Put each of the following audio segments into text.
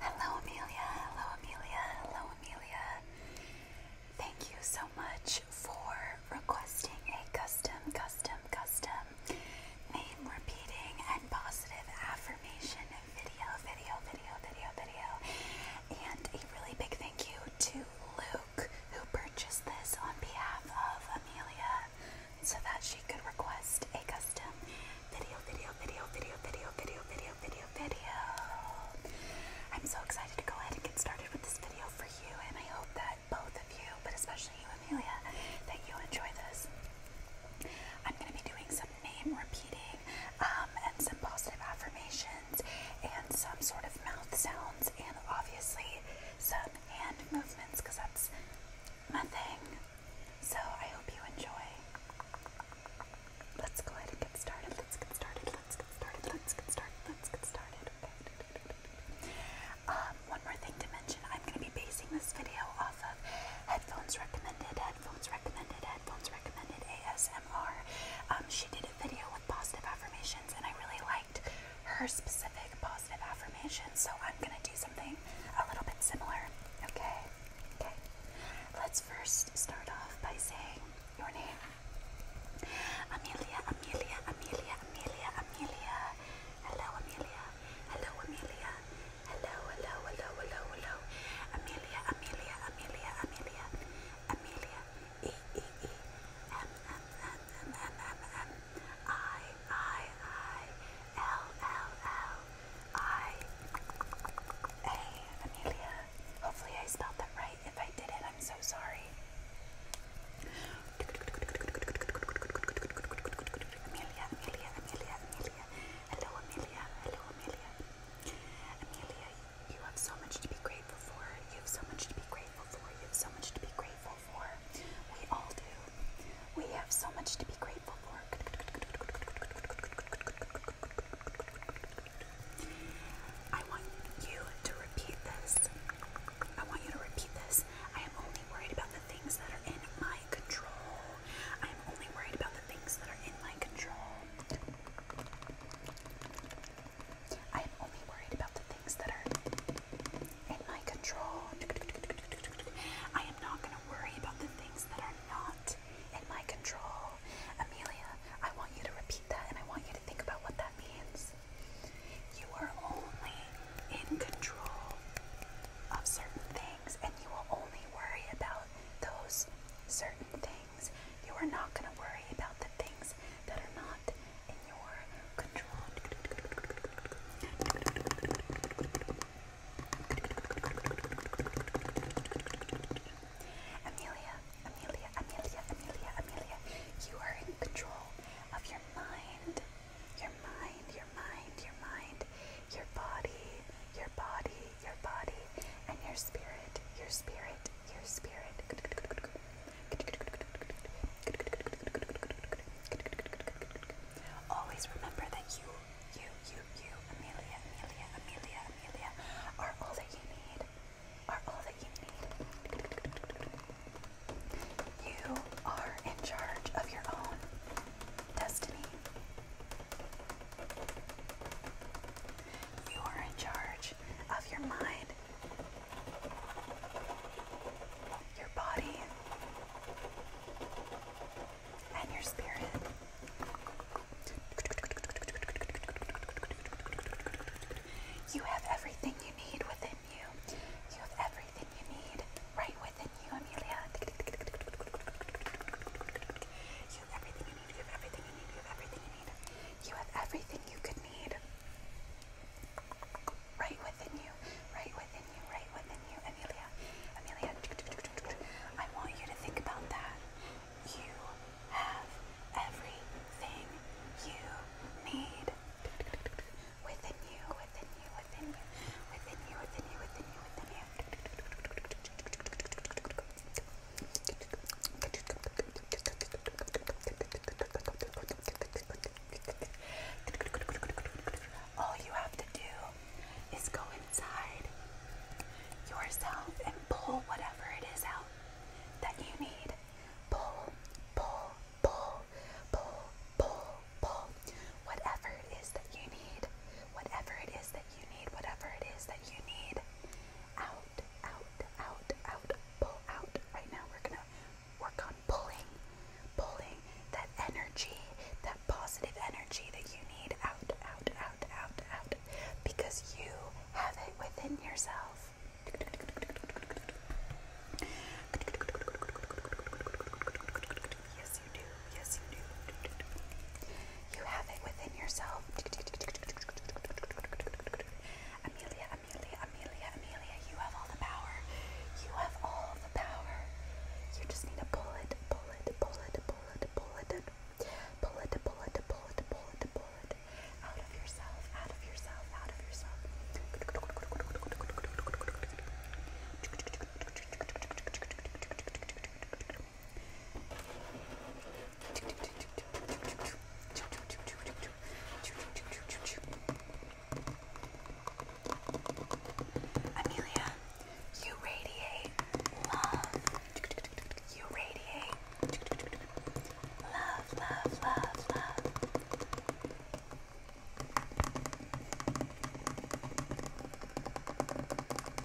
Hello, Amelia. Hello, Amelia. Hello, Amelia. Thank you so much for requesting a custom, custom, custom name repeating and positive affirmation video, video, video, video, video. And a really big thank you to Luke who purchased this on behalf of Amelia so that she could request a custom video, video, video, video, video, video, video, video, video. I'm so excited to go ahead and get started with this video for you, and I hope that both of you, but especially you, Amelia, that you enjoy this. I'm going to be doing some name repeating um, and some positive affirmations and some sort of mouth sounds and obviously some with hand movements because that's my thing. So I hope you enjoy. Let's go ahead and get started. Let's get started. Let's get started. Let's get started. Let's get started. Okay. Um, one more thing to mention. I'm going to be basing this video off of headphones recommended, headphones recommended, headphones recommended ASMR. Um, she did a video with positive affirmations, and I really liked her specific positive affirmation. So I'm going to do something a little bit similar. Okay? Okay. Let's first start off by saying your name. Amelia, Amelia, Amelia, Amelia, Amelia. Hello, Amelia. Hello, Amelia. Hello, hello, hello, hello, hello. Amelia, Amelia, Amelia, Amelia. Amelia. E E E. M M M M M M M I, I, I, L, L, L, I, A, Amelia. Hopefully I spelled that right. If I didn't, I'm so sorry. Amelia, Amelia, Amelia, Amelia. Hello, Amelia. Hello, Amelia. Amelia, you have so much to be grateful for. You have so much to be grateful grateful have so much to be grateful for. We all do. We have so much to be grateful for. I want you to repeat this. I want you to repeat this. I am only worried about the things that are in my control. I am only worried about the things that are in my control. I am only worried about the things that are in my control. I am not going to worry about the things that are not in my control. Amelia, I want you to repeat that and I want you to think about what that means. You are only in control of certain things and you will only worry about those certain things. You are not going to worry about the things that are not in your control. Amelia, Amelia, Amelia, Amelia, Amelia, you are in control of your mind. Your mind, your mind, your mind, your body, your body, your body, and your spirit, your spirit, your spirit. Always remember that you, you, you, you, Amelia, Amelia, Amelia, Amelia, are all that you need. Are all that you need. You are in charge of your own destiny. You are in charge of your mind, your body, and your spirit. You have everything you need within you. You have everything you need right within you, Amelia. You have everything you need. You have everything you need. You have everything you need. You have everything you could need. Right within you. Right within you. Right within you. Amelia. Amelia. I want you to think about that. You have everything you need. Within you. Within you. Within you. Within you. Within you. Within you. Within you. Within you. All you have to do is go inside yourself and pull whatever it is out that you need. Pull, pull, pull, pull, pull, pull. Whatever it is that you need, whatever it is that you need whatever it is that you need out, out, out, out, pull out. Right now we're gonna work on pulling, pulling that energy, that positive energy that you need out, out, out, out, out, because you have it within yourself. Yes, you do. Yes, you do. You have it within yourself. Amelia, Amelia, Amelia, Amelia, you have all the power. You have all the power. You just need to pull it, pull it, pull it, pull it, pull it, pull it, pull it, pull it, pull it, pull it, out of yourself, out of yourself, out of yourself. Amelia, you radiate love. You radiate love, love, love, love.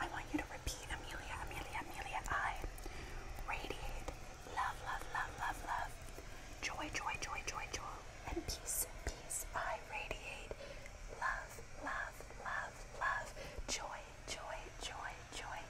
I want you to repeat Amelia, Amelia, Amelia. I radiate love, love, love, love, love. Joy, joy, joy, joy, joy. And peace, peace. I radiate love, love, love, love. Joy, joy, joy, joy.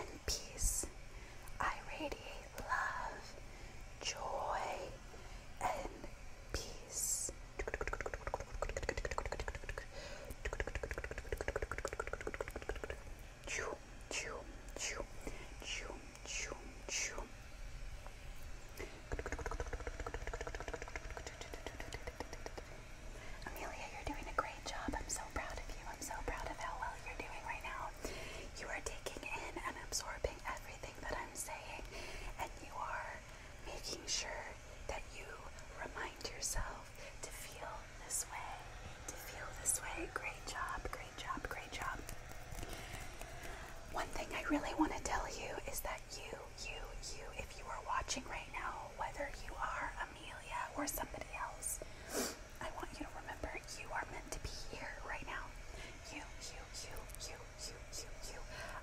And peace. I radiate love, joy, and peace. Choo, choo, choo, choo, choo, choo. Amelia, you're doing a great job. I'm so proud of you. I'm so proud of how well you're doing right now. You are taking in and absorbing everything that I'm saying, and you are making sure that you remind yourself to feel this way, to feel this way. Great job, great job, great job. One thing I really want to tell you is that you, you, you, if you are watching right now, whether you are Amelia or somebody else, I want you to remember you are meant to be here right now. You, you, you, you, you, you, you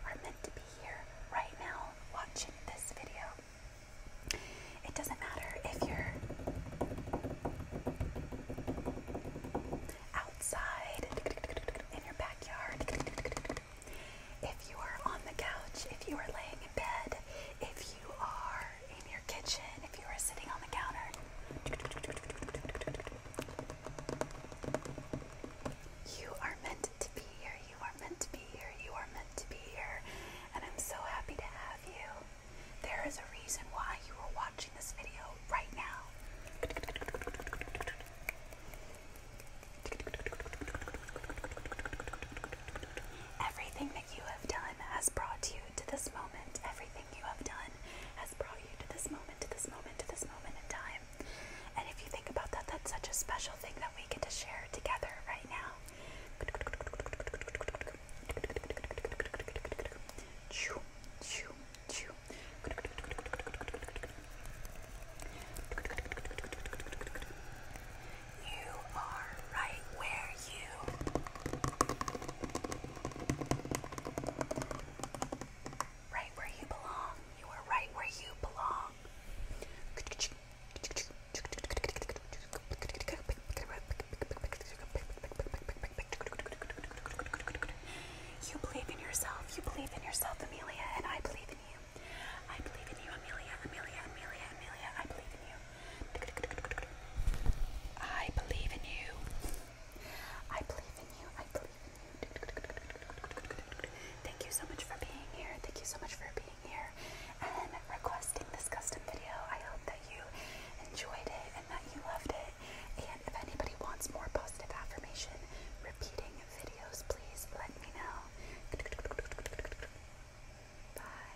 are meant to be here right now watching this video. It doesn't matter if you're outside, in your backyard, if you are on the couch, if you are laying in bed, if you are in your kitchen, if you are sitting on the counter. You are meant to be here. You are meant to be here. You are meant to be here. And I'm so happy to have you. There is a reason why you are watching this video right now. Everything that you have done has brought you to this moment. Everything you have done brought you to this moment, to this moment, to this moment in time. And if you think about that, that's such a special thing that we get to share together right now. Choo, choo, choo. You are right where you Right where you belong. You are right where you belong. You believe in yourself. You believe in yourself, Amelia, and I believe in you. I believe in you, Amelia, Amelia, Amelia, Amelia. I believe in you. I believe in you. I believe in you. I believe in you. Thank you so much for being here. Thank you so much for being here and requesting this custom video. I hope that you enjoyed it and that you loved it. And if anybody wants more positive affirmation repeating videos, please let me know. Bye.